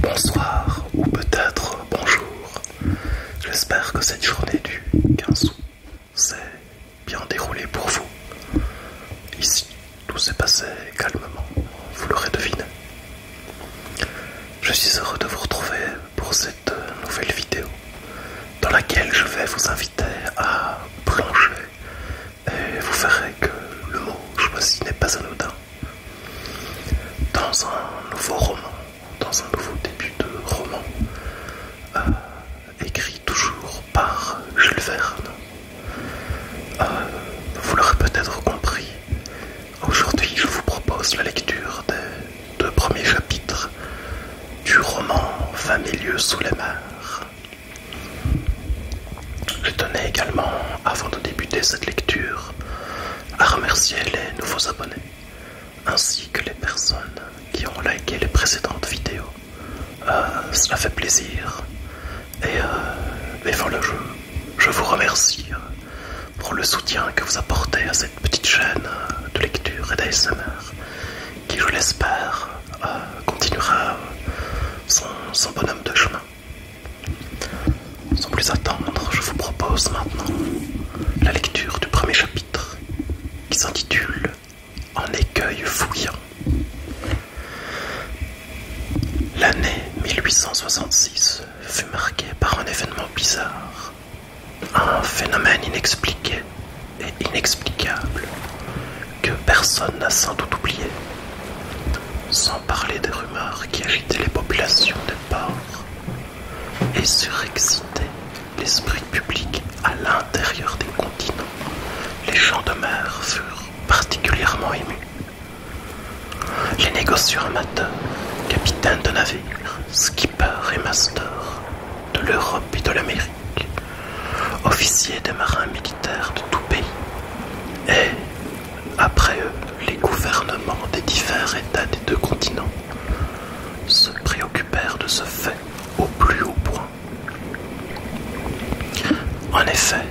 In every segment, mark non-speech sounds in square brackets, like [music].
Bonsoir ou peut-être bonjour. J'espère que cette journée du 15 s'est bien déroulée pour vous. Ici, tout s'est passé calmement, vous l'aurez deviné. Je suis heureux de vous retrouver pour cette nouvelle vidéo dans laquelle je vais vous inviter à plonger et vous verrez que le mot choisi n'est pas anodin. Dans un nouveau roman, dans un nouveau début de roman, euh, écrit toujours par Jules Verne. Euh, vous l'aurez peut-être compris, Aujourd'hui, je vous propose la lecture des deux premiers chapitres du roman 20 sous la mer. Je tenais également, avant de débuter cette lecture, à remercier les nouveaux abonnés, ainsi que les personnes qui ont liké les précédentes vidéos. Euh, cela fait plaisir. Et, euh, le jeu, je vous remercie euh, pour le soutien que vous apportez à cette petite chaîne de lecture et d'ASMR qui, je l'espère, euh, continuera son, bonhomme de chemin. Sans plus attendre, je vous propose maintenant la lecture du premier chapitre qui s'intitule En écueil fouillant. L'année 1866 fut marqué par un événement bizarre, un phénomène inexpliqué et inexplicable que personne n'a sans doute oublié, sans parler des rumeurs qui agitaient les populations des ports et surexcitaient l'esprit public à l'intérieur des continents. Les gens de mer furent particulièrement émus les négociants amateurs, capitaines de navires, skippers et masters de l'Europe et de l'Amérique, officiers des marins militaires de tout pays, et, après eux, les gouvernements des divers États des deux continents, se préoccupèrent de ce fait au plus haut point. En effet,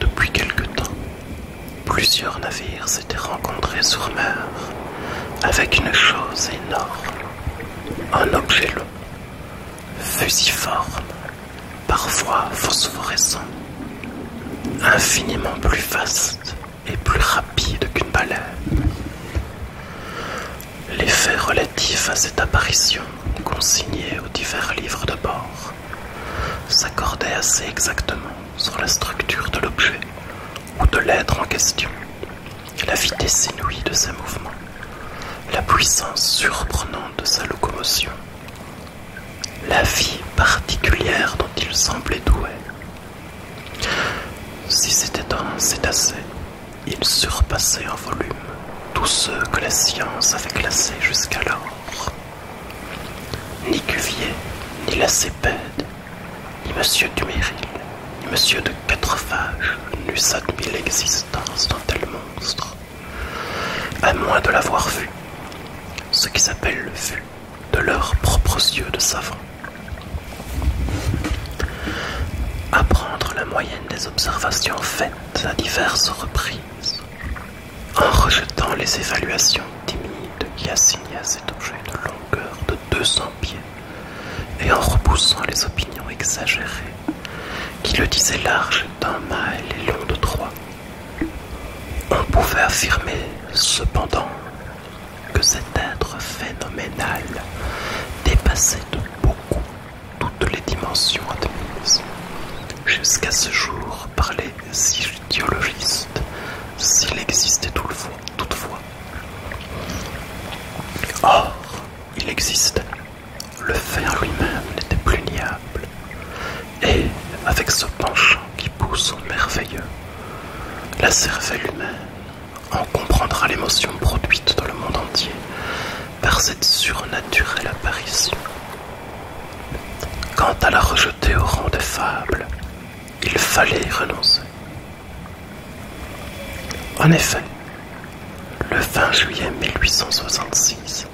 depuis quelque temps, Plusieurs navires s'étaient rencontrés sur mer avec une chose énorme, un objet long, fusiforme, parfois phosphorescent, infiniment plus vaste et plus rapide qu'une baleine. Les faits relatifs à cette apparition, consignés aux divers livres de bord, s'accordaient assez exactement sur la structure de l'objet ou de l'être en question, la vitesse inouïe de ses mouvements, la puissance surprenante de sa locomotion, la vie particulière dont il semblait doué. Si c'était un cétacé, il surpassait en volume tous ceux que la science avait classés jusqu'alors. Ni Cuvier, ni Lacépède, ni Monsieur Duméril, ni M. de Quatrefages n'eussent admis l'existence d'un tel monstre, à moins de l'avoir vu, ce qui s'appelle le vu de leurs propres yeux de savants. Apprendre la moyenne des observations faites à diverses reprises, en rejetant les évaluations timide qui assigna cet objet une longueur de 200 pieds, et en repoussant les opinions exagérées, qui le disaient large d'un mâle et long de trois. On pouvait affirmer cependant que cet être phénoménal dépassait de beaucoup toutes les dimensions admises jusqu'à ce jour par s'il existait toutefois. Or, il existait. Le fer lui-même n'était plus niable, et, avec ce penchant qui pousse au merveilleux, la cervelle humaine en comprendra l'émotion produite dans le monde entier par cette surnaturelle apparition. Quant à la rejeter au rang des fables, il fallait y renoncer. En effet, le 20 juillet 1866,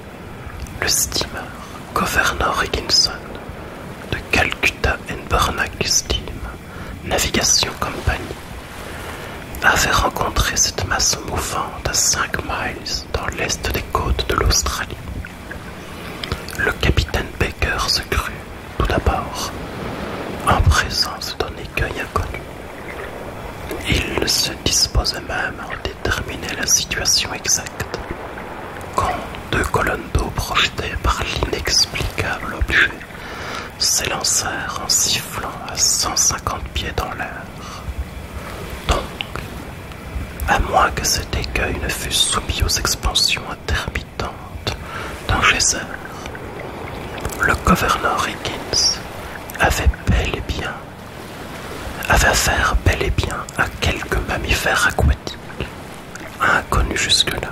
le steamer Governor Higginson de Calcutta and Steam Navigation Company avait rencontré cette masse mouvante à 5 miles dans l'est des côtes de l'Australie. Le capitaine Baker se crut, tout d'abord, en présence d'un écueil inconnu. Il se disposait même à déterminer la situation exacte, quand deux colonnes d'eau projetées par l'inexplicable objet s'élancèrent en sifflant à 150 pieds dans l'air. Donc, à moins que cet écueil ne fût soumis aux expansions interminables, dans d'un Le gouverneur Higgins avait bel et bien avait affaire bel et bien à quelques mammifères aquatiques, inconnus jusque-là,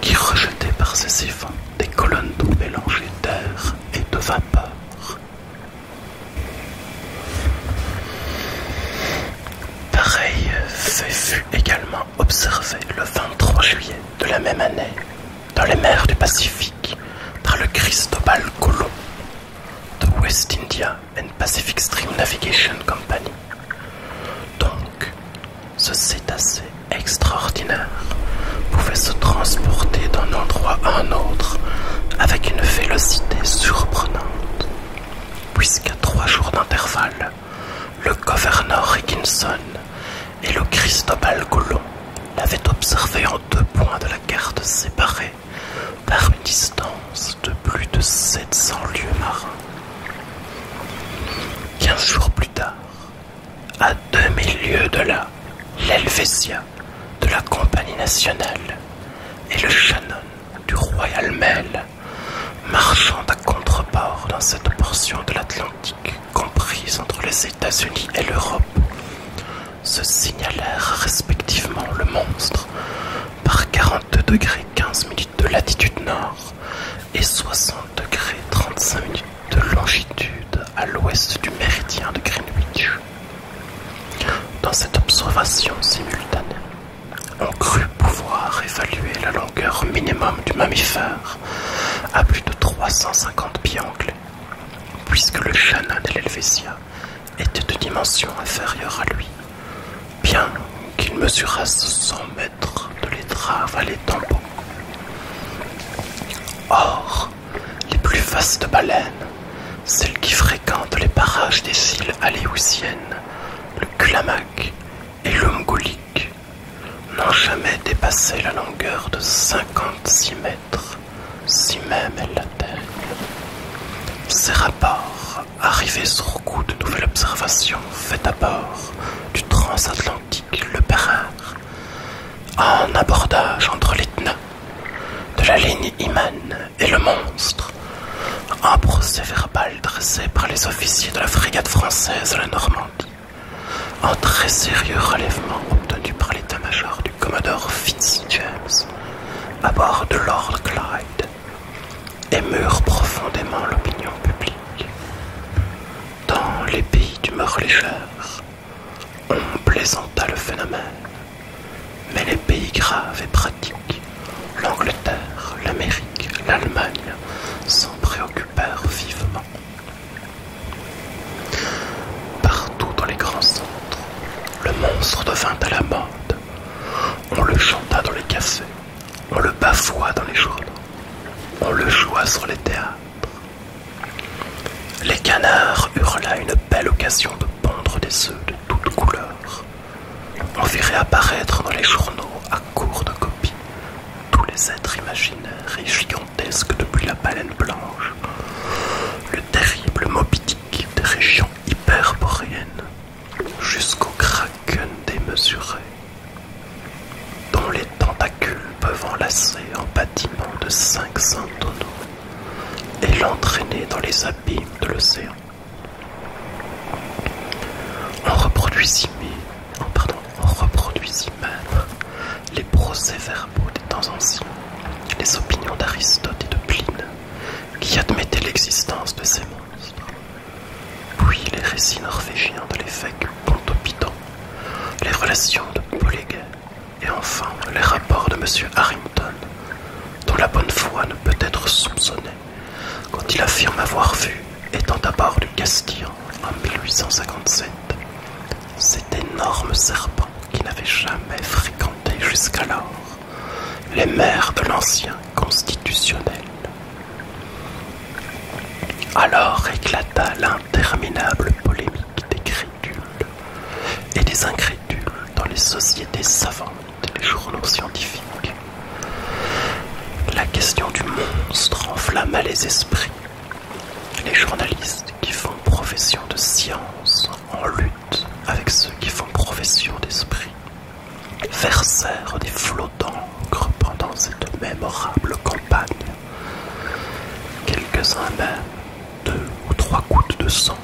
qui rejetait par ses siphons des colonnes d'eau mélangées d'air et de vapeur. Pareil fait fut également observé le 23 juillet de la même année dans les mers du Pacifique par le Cristobal Colon de West India and Pacific Stream Navigation Company. Donc, ce cétacé extraordinaire pouvait se transporter d'un endroit à un autre avec une vélocité surprenante, puisqu'à trois jours d'intervalle, le gouverneur Higginson et le Cristobal Golon l'avaient observé en deux points de la carte séparés par une distance de plus de 700 lieues marins. Quinze jours plus tard, à 2000 lieues de là, l'Helvetia de la Compagnie nationale et le Shannon du Royal Mail marchant à contre dans cette portion de l'Atlantique comprise entre les États-Unis et l'Europe, se signalèrent respectivement le monstre par 42 degrés 15 minutes de latitude nord et 60 degrés 35 minutes de longitude à l'ouest du méridien de Greenwich. Dans cette observation simultanée, on cru pouvoir évaluer la longueur minimum du mammifère à plus de 350 pieds anglais, puisque le Shannon de l'Helvetia étaient de dimension inférieure à lui, bien qu'il mesurasse 100 mètres de l'étrave à l'étambon. Or, les plus vastes baleines, celles qui fréquentent les parages des îles aléoutiennes, le clamac, et le mongolique n'ont jamais dépassé la longueur de 56 mètres, si même elle l'atteigne. Ces rapports, arrivaient sur coup de nouvelles observations faites à bord du transatlantique Le Perrard, en abordage entre l'Etna, de la ligne Iman et le monstre, un procès-verbal dressé par les officiers de la frégate française à la Normandie, un très sérieux relèvement obtenu par l'état-major du commodore Fitz-James à bord de Lord Clyde, émure profondément l'opinion publique. Dans les pays d'humeur légère, on plaisanta le phénomène, mais les pays graves et pratiques l'Angleterre, l'Amérique, l'Allemagne s'en préoccupèrent vivement. Partout dans les grands centres, le monstre devint à la mode. On le chanta dans les cafés, on le bafoua dans les journaux, on le joua sur les théâtres. Les canards eurent une belle occasion de pondre des œufs de toutes couleurs. On verrait apparaître dans les journaux, à court de copies, tous les êtres imaginaires et gigantesques depuis la baleine blanche, le terrible Moby des régions hyperboréennes, jusqu'au kraken démesuré, dont les tentacules peuvent enlacer un bâtiment de 500 tonneaux et l'entraîner dans les abîmes de l'océan. On reproduisit, oh, même les procès-verbaux des temps anciens, les opinions d'Aristote et de Pline, qui admettaient l'existence de ces monstres, puis les récits norvégiens de l'évêque Pontopidon, les relations de Poléguet, et enfin les rapports de M. Harrington, dont la bonne foi ne peut être soupçonnée quand il affirme avoir vu, étant à bord du Castillon en 1857, cet énorme serpent qui n'avait jamais fréquenté jusqu'alors les mers de l'ancien constitutionnel. Alors éclata l'interminable polémique des crédules et des incrédules dans les sociétés savantes les journaux scientifiques. La question du monstre enflamma les esprits. Les journalistes qui font profession de science en lutte avec ceux qui font profession d'esprit versèrent des flots d'encre pendant cette mémorable campagne. Quelques-uns même, deux ou trois gouttes de sang,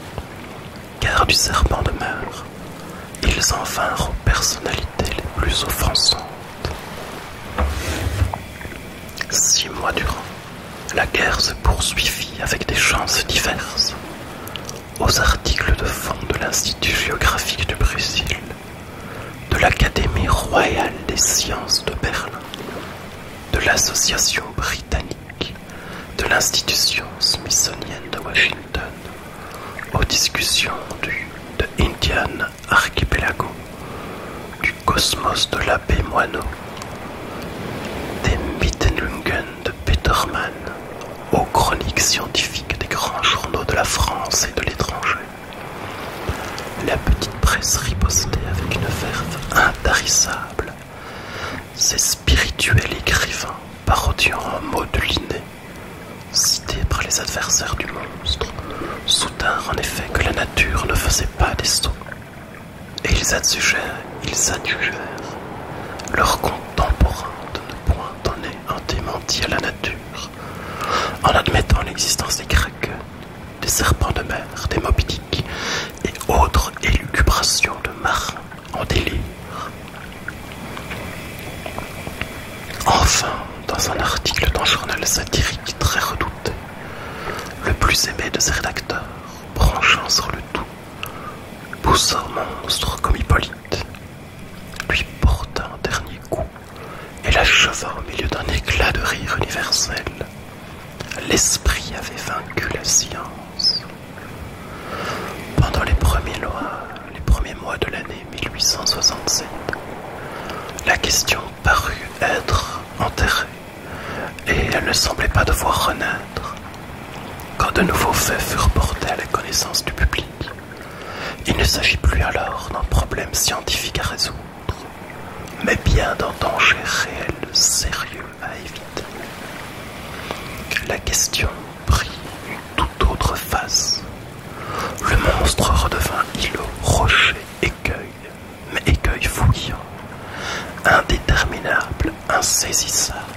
car du serpent demeure ils en vinrent aux personnalités les plus offensantes. Six mois durant, la guerre se poursuivit avec des chances diverses. Aux articles de fond de l'Institut géographique du Brésil, de l'Académie royale des sciences de Berlin, de l'Association britannique, de l'Institution smithsonienne de Washington, aux discussions du de Indian Archipelago, du Cosmos de l'abbé Moineau, des Mittelungen de Peterman aux chroniques scientifiques des grands journaux de la France et de l'étranger. La petite presse ripostait avec une verve intarissable. Ces spirituels écrivains parodiant un mot de l'inné Cités par les adversaires du monstre, soutinrent en effet que la nature ne faisait pas des sauts. Et ils adjugèrent, ils adjugèrent leurs contemporains de ne point donner un démenti à la nature, en admettant l'existence des craqueux, des serpents de mer, des mobitiques et autres élucubrations de marins en délire, Enfin, dans un article d'un journal satirique très redouté, le plus aimé de ses rédacteurs, branchant sur le tout, poussa un monstre comme Hippolyte, lui porta un dernier coup et l'acheva au milieu d'un éclat de rire universel. L'esprit avait vaincu la science. Pendant les premiers lois les premiers mois de l'année 1867, la question parut être enterrée et elle ne semblait pas devoir renaître. Quand de nouveaux faits furent portés à la connaissance du public, il ne s'agit plus alors d'un problème scientifique à résoudre, mais bien d'un danger réel, sérieux à éviter. La question pris une toute autre face. Le monstre redevint îlot, rocher, écueil, mais écueil fouillant, indéterminable, insaisissable.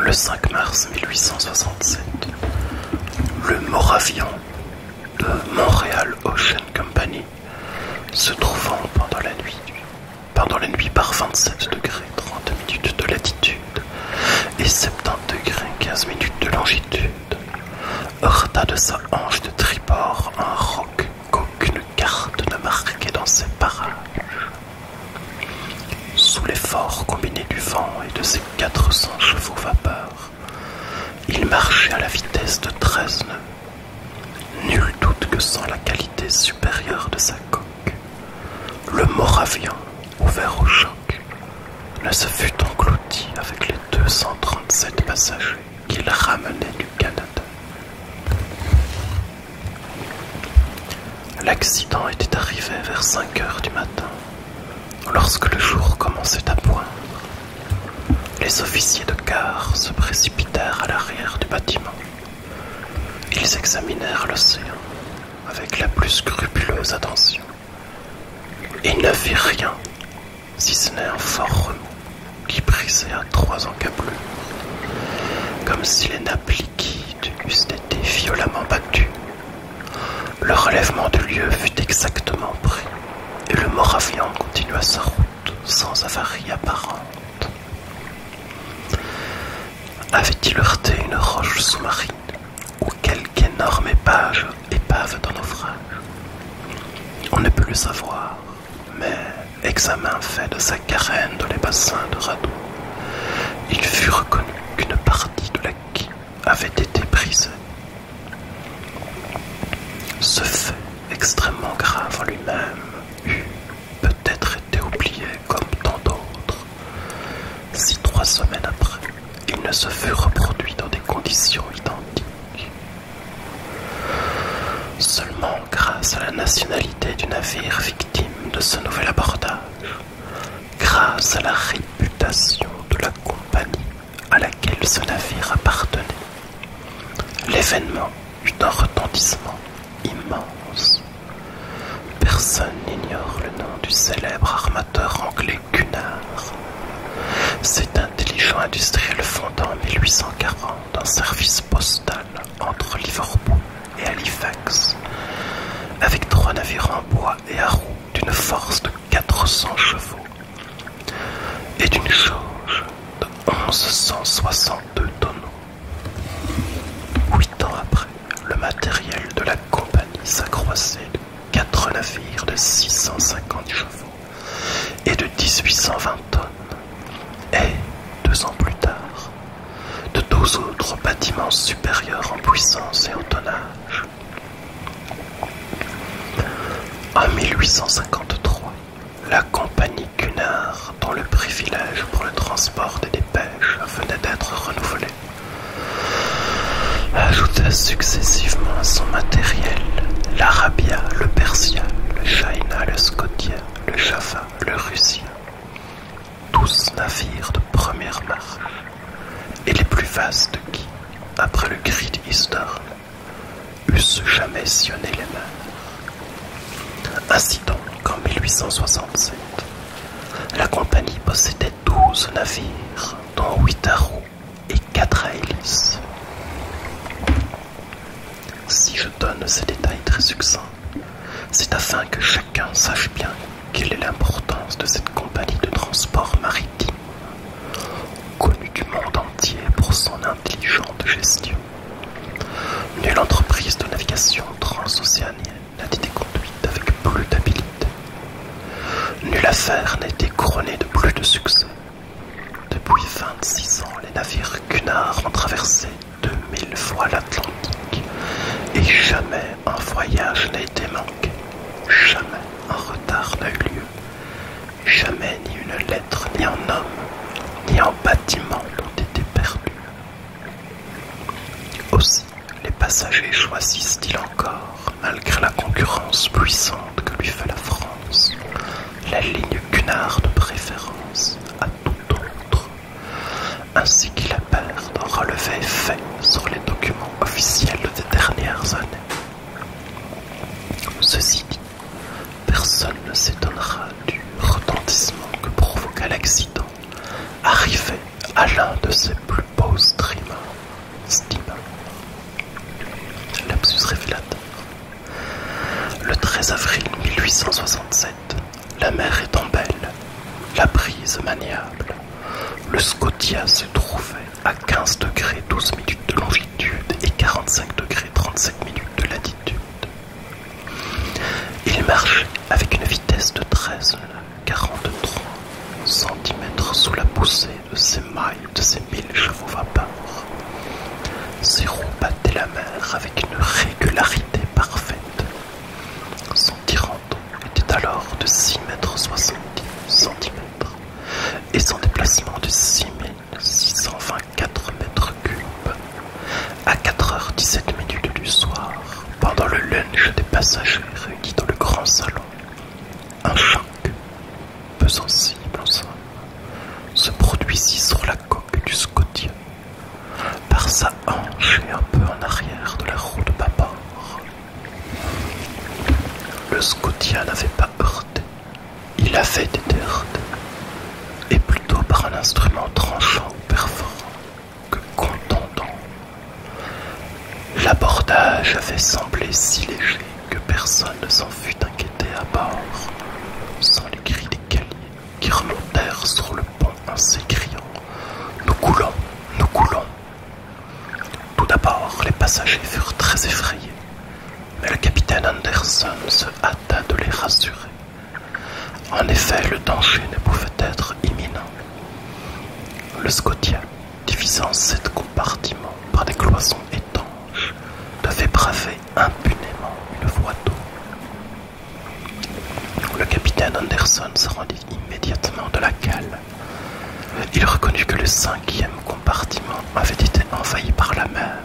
Le 5 mars 1867, le Moravian de Montréal Ocean Company, se trouvant pendant la nuit, pendant la nuit par 27 degrés 30 minutes de latitude, et 70 degrés 15 minutes de longitude, heurta de sa hanche de tribord un roc qu'aucune carte ne marquait dans ses parages. Sous l'effort combiné du vent et de ses 400 chevaux vapeur, il marchait à la vitesse de 13 nœuds. Nul doute que sans la qualité supérieure de sa coque, le Moravian ouvert au choc, ne se fut englouti avec les 237 passagers qu'il ramenait du Canada. L'accident était arrivé vers 5 heures du matin, lorsque le jour commençait à poindre. Les officiers de gare se précipitèrent à l'arrière du bâtiment. Ils examinèrent l'océan avec la plus scrupuleuse attention, Il ne fit rien, si ce n'est un fort remous qui brisait à trois encablures, comme si les nappes liquides eussent été violemment battues. Le relèvement du lieu fut exactement pris, et le Moravian continua sa route sans avarie apparente. Avait-il heurté une roche sous-marine ou quelque énorme épave, épave d'un naufrage. On ne peut le savoir, mais examen fait de sa carène dans les bassins de radeau, il fut reconnu qu'une partie de la quille avait été brisée. Ce fait extrêmement grave en lui-même eut peut-être oublié comme tant d'autres. Si trois semaines après, il ne se fut reproduit dans des conditions identiques. Seulement grâce à la nationalité du navire victime de ce nouvel abordage, grâce à la réputation de la compagnie à laquelle ce navire appartenait, l'événement eut un retentissement immense. Personne n'ignore le nom du célèbre armateur anglais Cunard. Cet intelligent industriel fondant en 1840 un service postal entre Liverpool et Halifax, avec trois navires en bois et à roues d'une force de 400 chevaux et d'une charge de 1162 tonneaux. Huit ans après, le matériel de la compagnie s'accroissait de quatre navires de 650 chevaux et de 1820 tonnes, et, deux ans plus tard, de deux autres bâtiments supérieurs en puissance et en tonnage. En 1853, la compagnie Cunard, dont le privilège pour le transport des dépêches venait d'être renouvelé, ajouta successivement à son matériel l'arabia, le persia, le china, le scotia, le jaffa, le russia, tous navires de première marque et les plus vastes qui, après le grid historique, eussent jamais sillonné les mers. Ainsi donc, en 1867, la compagnie possédait 12 navires, dont 8 à et 4 à Si je donne ces détails très succincts, c'est afin que chacun sache bien quelle est l'importance de cette compagnie de transport maritime, connue du monde entier pour son intelligente gestion. Nulle entreprise de navigation transocéanienne n'a été conduite avec plus d'habilité. Nulle affaire n'a été couronnée de plus de succès. Depuis 26 ans, les navires Cunard ont traversé 2000 fois l'Atlantique et jamais un voyage n'a été manqué, jamais un retard n'a eu lieu, jamais ni une lettre, ni un homme, ni un bâtiment n'ont été perdus. Aussi, les passagers choisissent-ils encore, malgré la concurrence puissante que lui fait la France, la ligne Cunard de préférence à tout autre, ainsi qu'il la en relevé fait sur les documents officiels des dernières années. Ceci dit, personne ne s'étonnera du retentissement que provoqua l'accident, arrivé à l'un de ses plus beaux streamers. Stima. Lapsus révélateur. Le 13 avril 1867, la mer est en belle, la brise maniable, le Scotia se trouvait à 15 degrés 12 minutes de longitude et 45 degrés 37 minutes de latitude. Il marchait avec une vitesse de 13 43 cm sous la poussée de ses mailles de ses mille chevaux vapeurs Ses roues battaient la mer avec une régularité parfaite. Son tirant était alors de 6 mètres 70 et son déplacement de six mille mètres cubes. À 4h17 minutes du soir, pendant le lunch des passagers réunis dans le grand salon, un choc, peu sensible en se produisit sur la coque du Scotia, par sa hanche et un peu en arrière de la roue de bâbord. Le Scotia n'avait pas heurté, il avait des heurté, et plutôt par un instrument tranchant ou perforant que contendant. L'abordage avait semblé si léger que personne ne s'en fut inquiété à bord, sans les cris des caliers qui remontèrent sur le pont en s'écriant Nous coulons, nous coulons. Tout d'abord, les passagers furent très effrayés, mais le capitaine Anderson se hâta de les rassurer. En effet, le danger ne pouvait être imminent. Le Scotia, divisé en sept compartiments par des cloisons étanches, devait braver impunément une voie d'eau. Le capitaine Anderson se rendit immédiatement de la cale. Il reconnut que le cinquième compartiment avait été envahi par la mer,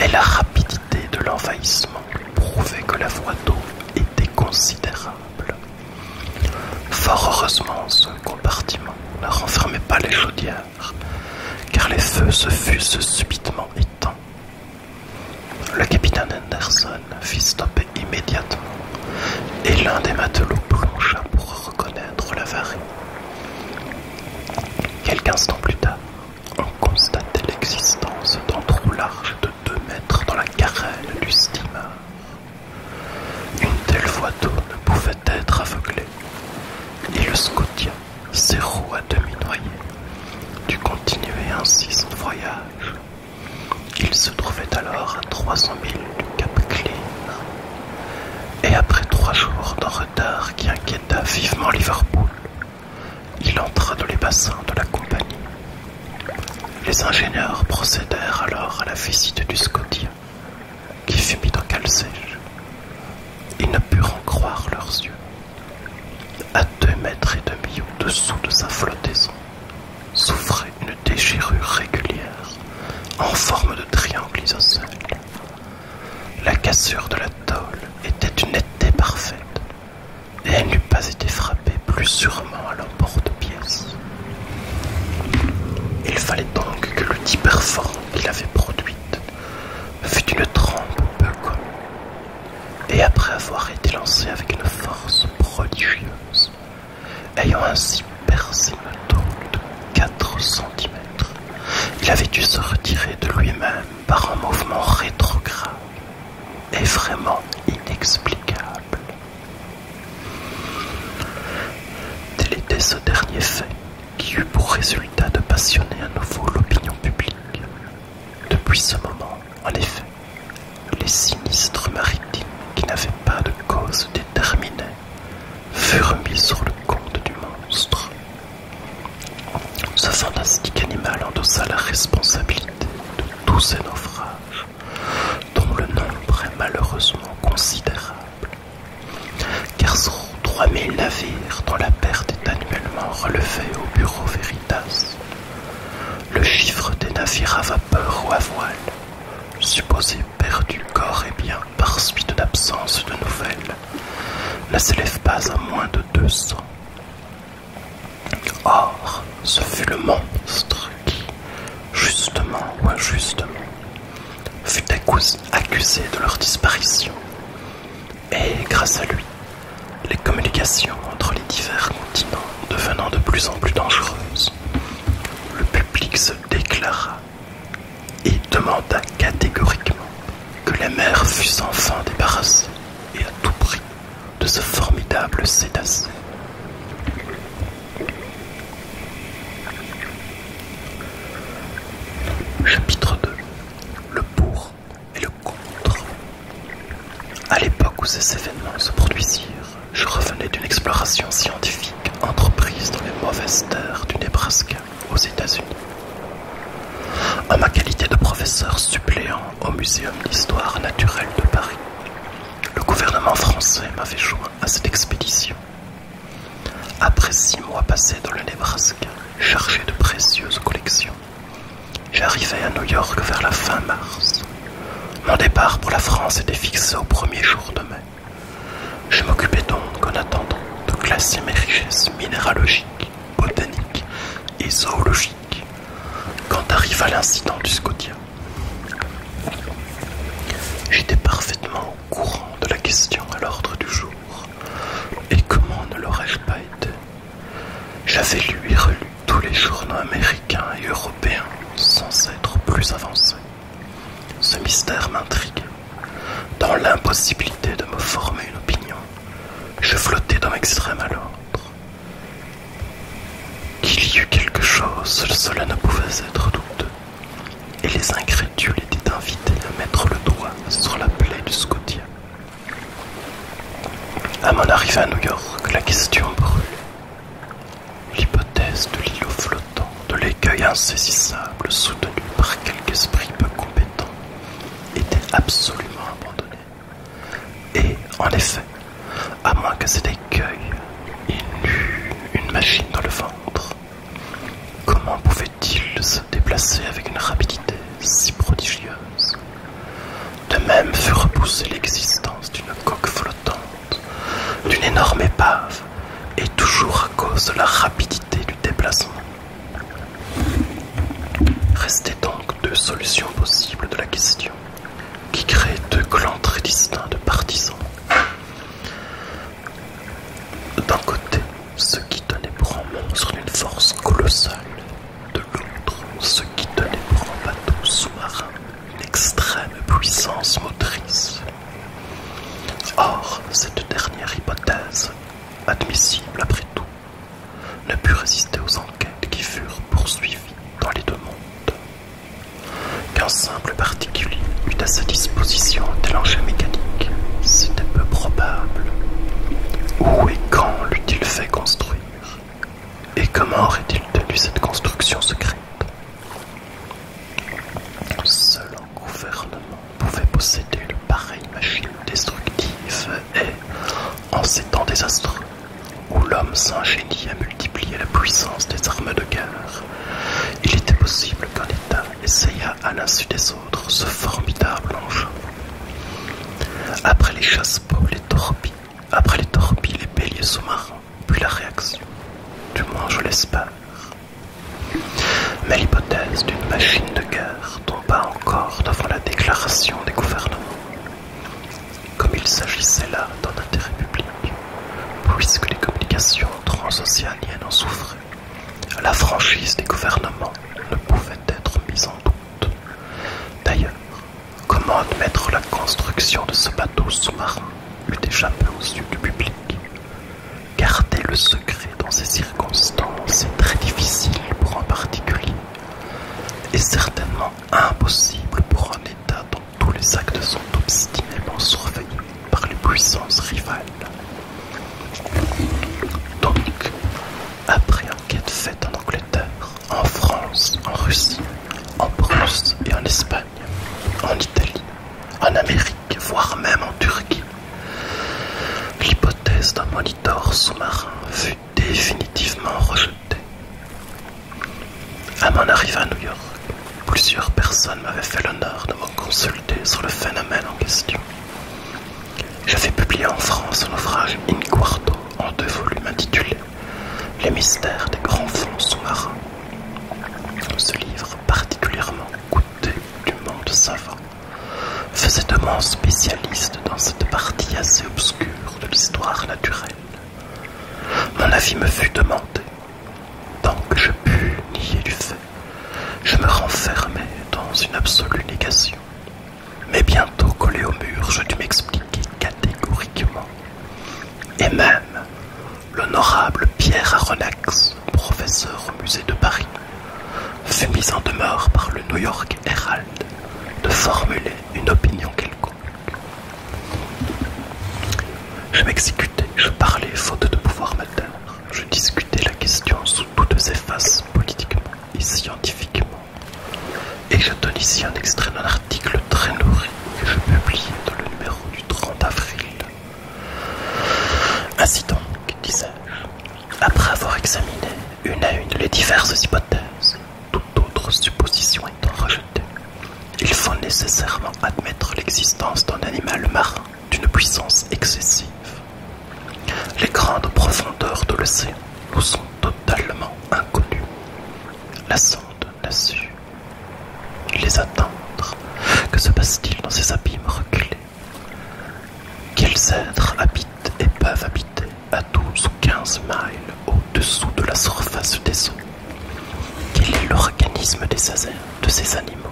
et la rapidité de l'envahissement prouvait que la voie d'eau était considérable. Fort heureusement, ce compartiment ne renfermait pas les chaudières, car les feux se fussent subitement éteints. Le capitaine Anderson fit stopper immédiatement, et l'un des matelots plongea pour reconnaître l'avarie. Quelques instants plus tard, on constatait l'existence d'un trou large de deux mètres dans la carène du steamer. Une telle voie d'eau ne pouvait être aveuglée, et le Scotia, ses roues à demi noyées, dut continuer ainsi son voyage. Il se trouvait alors à 300 milles du Cap Clean, et après trois jours d'un retard qui inquiéta vivement Liverpool, il entra dans les bassins de la compagnie les ingénieurs procédèrent alors à la visite du Scotia, qui fut mis en sèche. Ils ne purent en croire leurs yeux. À deux mètres et demi au-dessous de sa flottaison, souffrait une déchirure régulière en forme de triangle isocèle. La cassure de la tôle était une netteté parfaite, et elle n'eût pas été frappée plus sûrement à l'emporte-pièce. Il fallait donc que l'outil perforant qu'il avait produite fût une trempe peu connue. et après avoir été lancé avec une force prodigieuse, ayant ainsi percé une tôle de 4 cm, il avait dû se retirer de lui-même par un mouvement rétrograde et vraiment inexplicable. Tel était ce dernier fait qui eut pour résultat de passionner à nouveau l'opinion publique. Depuis ce moment, en effet, les sinistres maritimes qui n'avaient pas de cause déterminée furent mis sur le compte du monstre. Ce fantastique animal endossa la responsabilité de tous ces naufrages dont le nombre est malheureusement considérable, car sur 3000 navires dont la perte est annuellement relevée au bureau Veritas, le chiffre des navires à vapeur ou à voile, supposés perdus corps et biens par suite d'absence de nouvelles, ne s'élève pas à moins de 200. Or, ce fut le monstre qui, justement ou injustement, fut accusé de leur disparition. Et grâce à lui, les communications entre les divers continents devenant de plus en plus dangereuses, le public se déclara et demanda catégoriquement que la mer fût enfin débarrassée et à tout prix de ce formidable cétacé. Chapitre 2 Le pour et le contre. À l'époque où ces événements se produisirent, je revenais d'une exploration scientifique entreprise dans les mauvaises terres du Nebraska aux États-Unis. En ma qualité de professeur suppléant au Muséum d'histoire naturelle de Paris, le gouvernement français m'avait joint à cette expédition. Après six mois passés dans le Nebraska, chargé de précieuses collections, j'arrivais à New York vers la fin mars. Mon départ pour la France était fixé au premier jour de mai. Je m'occupais donc, en attendant, de classer mes richesses minéralogiques, botaniques et zoologiques quand arriva l'incident du Scotia. J'étais parfaitement au courant de la question à l'ordre du jour, et comment ne l'aurais-je pas été J'avais lu et relu tous les journaux américains et européens sans être plus avancé. Ce mystère m'intriguait. Dans l'impossibilité de me former une opinion, je flottais d'un extrême à l'autre. Qu'il y eût quelque chose, cela ne pouvait être douteux, et les incrédules étaient invités à mettre le doigt sur la plaie du Scotia. À mon arrivée à New York, la question brûlait. L'hypothèse de l'îlot flottant, de l'écueil insaisissable soutenu par quelque esprit peu compétent, était absolument abandonnée. Et, en effet, à moins que cet écueil il une machine dans le ventre, comment pouvait-il se déplacer avec une rapidité si prodigieuse De même fut repoussée l'existence d'une coque flottante, d'une énorme épave, et toujours à cause de la rapidité du déplacement. Restaient donc deux solutions possibles de la question qui créait deux clans très distincts de partisans. D'un côté, ce qui tenait pour un monstre d'une force colossale, de l'autre, ce qui tenait pour un bateau sous-marin une extrême puissance motrice. Or, cette dernière hypothèse, admissible après tout, ne put résister aux enquêtes qui furent poursuivies dans les deux mondes qu'un simple particulier eût à sa disposition un tel mécanique, c'était peu probable. Où et quand l'eût-il fait construire Et comment aurait-il tenu cette construction secrète Seul un gouvernement pouvait posséder une pareille machine destructive et, en ces temps désastreux, où l'homme s'ingénie à multiplier la puissance des armes de guerre, il était possible qu'un État essayât à l'insu des autres ce formidable enjeu. Après les et les torpilles, après les torpilles, les béliers sous-marins, puis la réaction, du moins je l'espère. Mais l'hypothèse d'une machine de guerre tomba encore devant la déclaration des gouvernements comme il s'agissait là d'un intérêt public, puisque les communications transocéaniennes en souffraient, la franchise des gouvernements ne pouvait être mise en doute. D'ailleurs, comment admettre la construction de ce bateau sous-marin eût échappé aux yeux du public Garder le secret dans ces circonstances est très difficile pour un particulier et certainement impossible pour un État dont tous les actes sont obstinément surveillés par les puissances rivales. Donc, après enquête faite en Angleterre, en France, en Russie, en Prusse et en Espagne, en Italie, en Amérique, voire même en Turquie, l'hypothèse d'un monitor sous-marin fut définitivement rejetée. À mon arrivée à New York, plusieurs personnes m'avaient fait l'honneur de me consulter sur le phénomène en question. J'avais publié en France un ouvrage in quarto en deux volumes intitulé Les mystères des grands fonds sous-marins. Ce livre, particulièrement coûté du monde savant, faisait de moi spécialiste dans cette partie assez obscure de l'histoire naturelle mon avis me fut demandé. Tant que je pus nier du fait, je me renfermais dans une absolue négation. Mais bientôt collé au mur, je dus m'expliquer catégoriquement. Et même l'honorable Pierre Aronnax, professeur au musée de Paris, fut mis en demeure par le New York Herald de formuler une opinion quelconque. Je m'exécutais, je parlais faute de pouvoir m'atteindre. Je discutais la question sous toutes ses faces, politiquement et scientifiquement. Et je donne ici un extrait d'un article très nourri que je publie dans le numéro du 30 avril. Ainsi donc, disais-je, après avoir examiné une à une les diverses hypothèses, toute autre supposition étant rejetée, il faut nécessairement admettre l'existence d'un animal marin d'une puissance excessive. Les grandes profondeurs de l'océan nous sont totalement inconnues. La sonde n'a su les attendre. Que se passe-t-il dans ces abîmes reculés Quels êtres habitent et peuvent habiter à 12 ou 15 miles au-dessous de la surface des eaux quel est l'organisme de ces animaux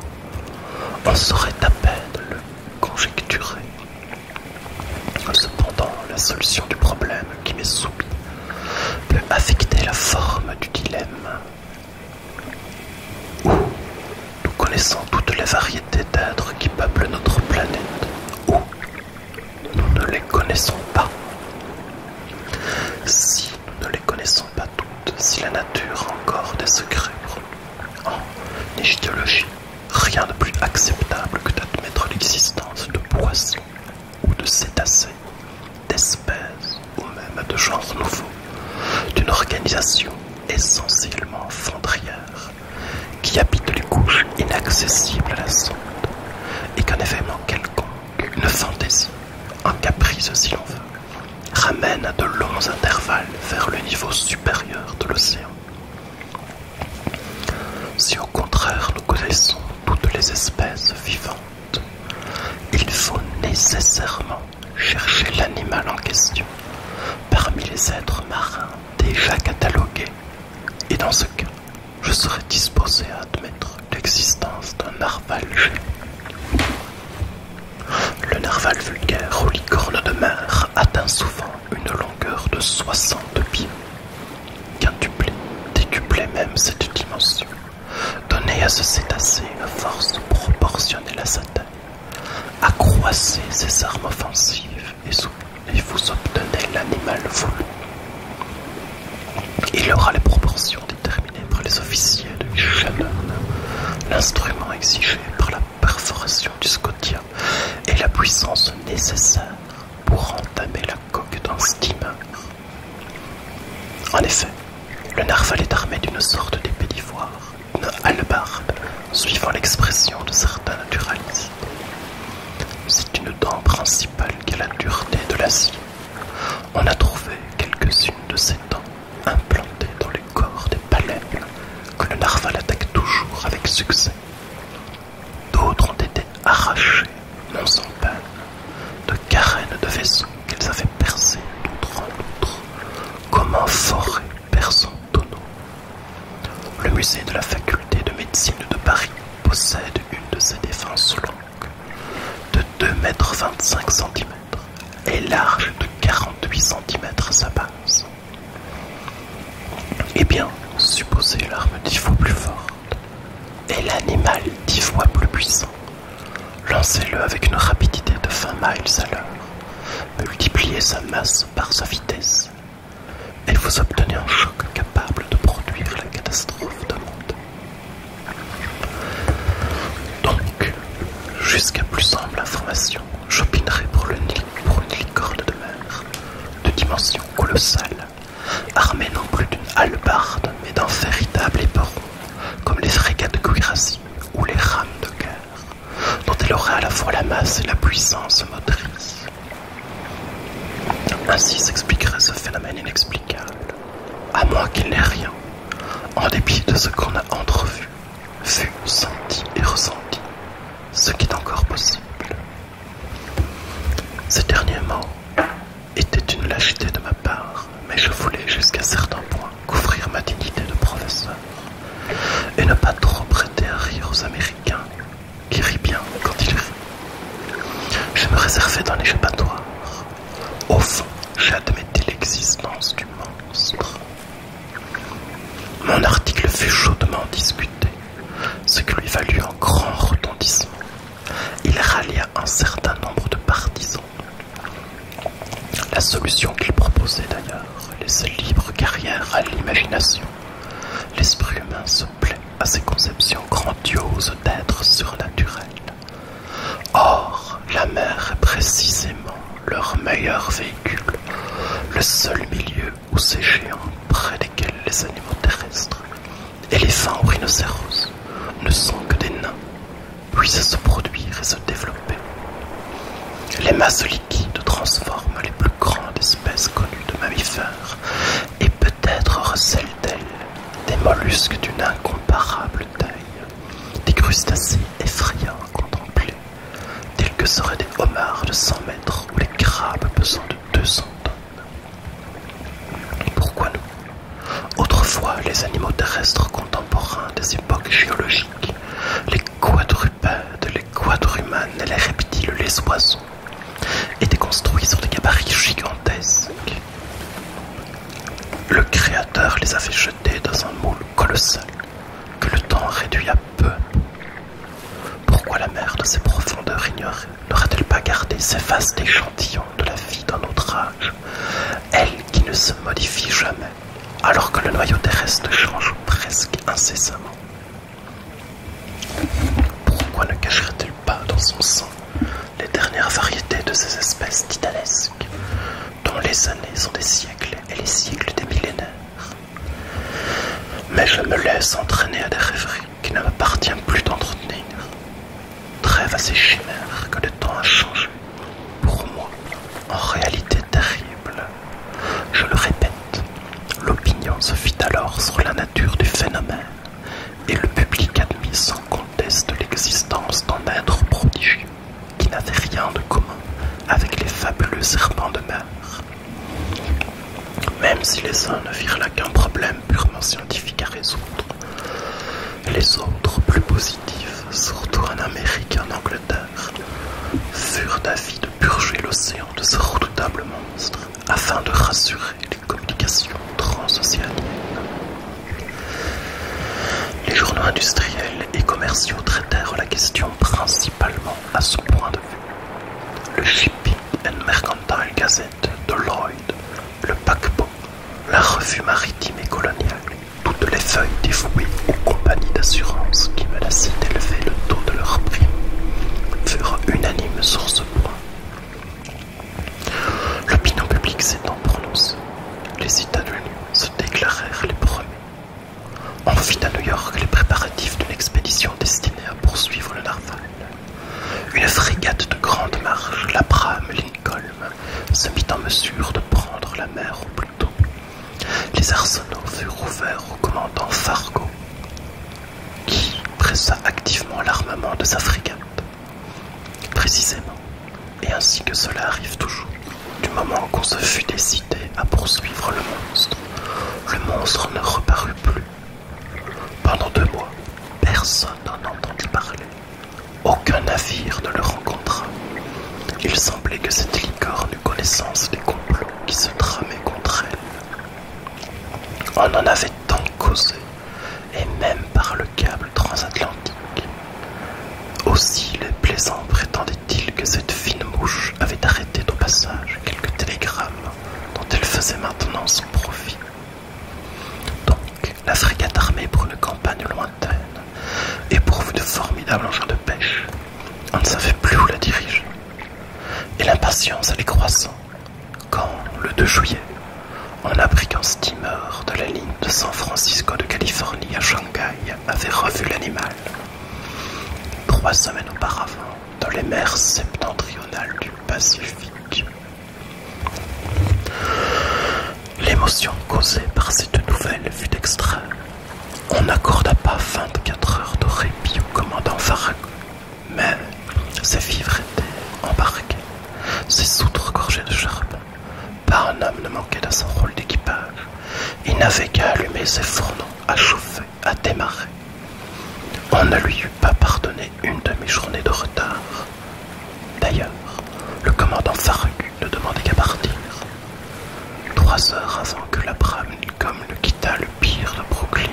On saurait à peine le conjecturer. Cependant, la solution du problème qui m'est soumis peut affecter la forme du dilemme. Où nous connaissons toutes les variétés d'êtres qui peuplent notre planète, Où nous ne les connaissons pas. Si nous ne les connaissons pas toutes, si la nature a encore des secrets en égyptologie, rien de plus acceptable que d'admettre l'existence de poissons ou de cétacés, d'espèces ou même de genres nouveaux, d'une organisation essentiellement fondrière qui habite les couches inaccessibles à la sonde et qu'un événement quelconque une fantaisie, un caprice si l'on veut, ramène à de longs intervalles vers le niveau supérieur de l'océan. Si au contraire nous connaissons toutes les espèces vivantes, il faut nécessairement chercher l'animal en question parmi les êtres marins déjà catalogués. Et dans ce cas, je serais disposé à admettre l'existence d'un narval géant. Le narval vulgaire aux licornes de mer atteint souvent une longueur de 60 pieds, quintuplé, décuplé même cette dimension, Donnez à ce cétacé une force proportionnelle à sa taille. Accroissez ses armes offensives et vous obtenez l'animal voulu il aura les proportions déterminées par les officiers de Shannon, l'instrument exigé par la perforation du Scotia et la puissance nécessaire pour entamer la coque d'un steamer. En effet, le narval est armé d'une sorte d'épée d'ivoire, une hallebarde, suivant l'expression de certains naturalistes. C'est une dent principale qui a la dureté de l'acier. On a trouvé quelques-unes de ces dents implantées dans les corps des palais que le narval attaque toujours avec succès. D'autres ont été arrachées, non sans peine, de carènes de vaisseaux qu'ils avaient percées d'outre en l'autre, comme un forêt perçant tonneau. Le musée de la faculté de médecine de Paris possède une de ces défenses longues de mètres 2,25 cm et large de 48 cm à sa base. Eh bien, supposez l'arme dix fois plus forte et l'animal dix fois plus puissant. Lancez-le avec une rapidité de 20 miles à l'heure, multipliez sa masse par sa vitesse, et vous obtenez un choc capable de produire la catastrophe de monde. Donc, jusqu'à plus simple information, j'opinerai pour, le, une licorne de mer, de dimension colossale, armée non plus d'une hallebarde, mais d'un véritable éperon, comme les frégates de cuirassiers ou les rames de guerre, dont elle aura à la fois la masse et la puissance motrice. Ainsi s'expliquerait ce phénomène inexplicable à moins qu'il n'ait rien, en dépit de ce qu'on a entrevu, vu, senti et ressenti, ce qui est encore possible. Ces derniers mots étaient une lâcheté de ma part, mais je voulais jusqu'à certains points couvrir ma dignité de professeur et ne pas trop prêter à rire aux Américains qui rient bien quand ils rient. Je me réservais dans les l'échappatoire. Au fond, j'admettais l'existence du monstre. Mon article fut chaudement discuté, ce qui lui valut un grand retentissement. Il rallia un certain nombre de partisans. La solution qu'il proposait d'ailleurs laissait libre carrière à l'imagination. L'esprit humain se à ces conceptions grandioses d'êtres surnaturels. Or, la mer est précisément leur meilleur véhicule, le seul milieu où ces géants, près desquels les animaux terrestres, éléphants ou rhinocéros, ne sont que des nains, puissent se produire et se développer. Les masses liquides transforment les plus grandes espèces connues de mammifères et peut-être recèlent-elles des mollusques d'une incomparable taille, des crustacés effrayants à contempler, tels que seraient des homards de 100 mètres ou les crabes pesant de 200 tonnes. Pourquoi nous Autrefois, les animaux terrestres contemporains des époques géologiques, les quadrupèdes, les quadrumanes, les reptiles, les oiseaux, étaient construits sur des gabarits gigantesques le Créateur les a fait jeter dans un moule colossal que le temps réduit à peu. Pourquoi la mer de ses profondeurs ignorées naurait elle pas gardé ces vastes échantillons de la vie d'un autre âge, elle qui ne se modifie jamais, alors que le noyau terrestre change presque incessamment Pourquoi ne cacherait-elle pas dans son sang les dernières variétés de ces espèces titanesques, dont les années sont des siècles et les siècles des millénaires. Mais je me laisse entraîner à des rêveries qui ne m'appartiennent plus d'entretenir. Trêve à ces chimères que le temps a changé, pour moi, en réalité terrible. Je le répète, l'opinion se fit alors sur la nature du phénomène et le public admis sans conteste l'existence d'un être prodigieux qui n'avait rien de commun avec les fabuleux serpents de mer. Même si les uns ne virent là qu'un problème purement scientifique à résoudre, les autres, plus positifs, surtout en Amérique et en Angleterre, furent d'avis de purger l'océan de ce redoutable monstre afin de rassurer communication Les journaux industriels et commerciaux traitèrent la question principalement à ce point de vue. Le Shipping and Mercantile Gazette de Lloyd, le paquebot, la revue maritime et coloniale, toutes les feuilles dévouées aux compagnies d'assurance qui menaçaient d'élever le taux de leurs primes, furent unanimes sur ce point. L'opinion publique s'étant prononcée, les États unis se déclarèrent les premiers. On fit à New York les préparatifs d'une expédition destinée à poursuivre le Narval. Une frégate de grande marche, l'Abraham Lincoln, se mit en mesure de prendre la mer au plus tôt. Les arsenaux furent ouverts au commandant Fargo, qui pressa activement l'armement de sa frégate. Précisément, et ainsi que cela arrive toujours, du moment qu'on se fut décidé à poursuivre le monstre, le monstre ne reparut plus. Pendant deux mois, personne n'en entendit parler. Aucun navire ne le rencontra. Il semblait que cette licorne eût connaissance des complots qui se tramaient contre elle. On en avait tant causé et même par le câble transatlantique. Aussi les plaisants prétendaient-ils que cette fine mouche avait arrêté au passage quelques télégrammes dont elle faisait maintenant son profit. Donc, la frégate armée pour une campagne lointaine éprouve de formidables engins de pêche. On ne savait plus où la diriger. Et l'impatience allait croissant quand, le 2 juillet, on apprit qu'un steamer de la ligne de San Francisco de Californie à Shanghai avait revu l'animal. Trois semaines auparavant, dans les mers septentrionales du Pacifique. L'émotion causée par cette nouvelle fut extrême. On n'accorda pas 24 heures de répit au commandant Farragut, mais ses vivres étaient embarqués. Ses soutres gorgées de charbon. Pas un homme ne manquait à son rôle d'équipage. Il n'avait qu'à allumer ses fourneaux, à chauffer, à démarrer. On ne lui eût pas pardonné une demi-journée de retard. D'ailleurs, le commandant Faragu ne demandait qu'à partir. Trois heures avant que l'Abraham Lincoln ne quittât le pire de Brooklyn,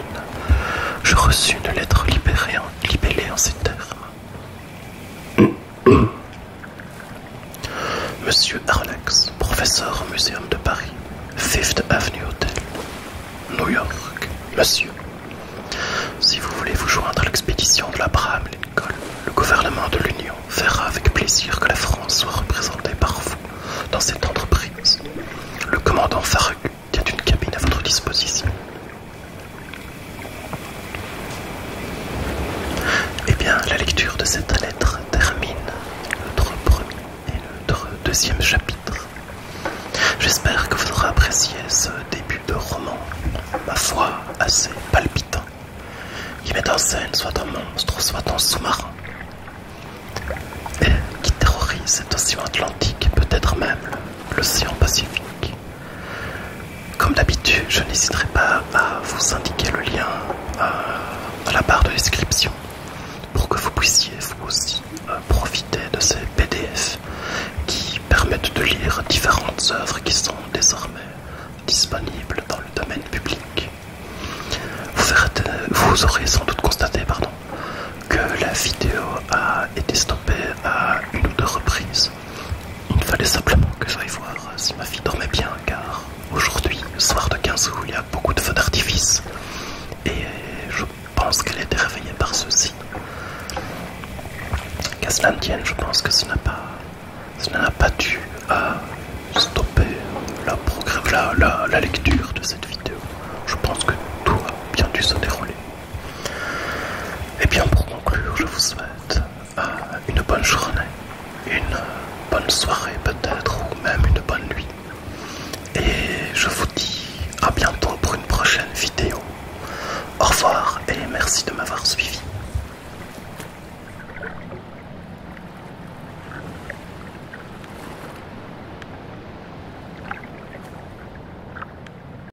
je reçus une lettre libérée libellée en ces termes. [coughs] Monsieur Arlax, professeur au Muséum de Paris, Fifth Avenue Hotel, New York. Monsieur, si vous voulez vous joindre à l'expédition de l'Abraham Lincoln, le gouvernement de l'Union verra avec plaisir que la France soit représentée par vous dans cette entreprise. Le commandant Farragut il une cabine à votre disposition. Eh bien, la lecture de cette lettre termine notre premier et notre deuxième chapitre. J'espère que vous aurez apprécié ce début de roman, ma foi assez palpitant, qui met en scène soit un monstre, soit un sous-marin, et qui terrorise cet océan Atlantique, peut-être même l'océan Pacifique. Comme d'habitude, je n'hésiterai pas à vous indiquer le lien euh, à la barre de description pour que vous puissiez vous aussi euh, profiter de ces PDF qui permettent de lire différentes œuvres qui sont désormais disponibles dans le domaine public. Vous, aurez sans doute constaté pardon, que la vidéo a été stoppée à une ou deux reprises il fallait simplement que j'aille voir si ma fille dormait bien, car aujourd'hui, le soir de 15 août, il y a beaucoup de feux d'artifice. Et je pense qu'elle a été réveillée par ceci. Qu'à cela tienne, je pense que ce n'a pas, pas dû à euh, stopper la, la lecture de cette vidéo. Je pense que tout a bien dû se dérouler. Et eh bien pour conclure, je vous souhaite euh, une bonne journée, une bonne soirée peut-être, ou même une bonne nuit. Et je vous dis à bientôt pour une prochaine vidéo. Au revoir et merci de m'avoir suivi.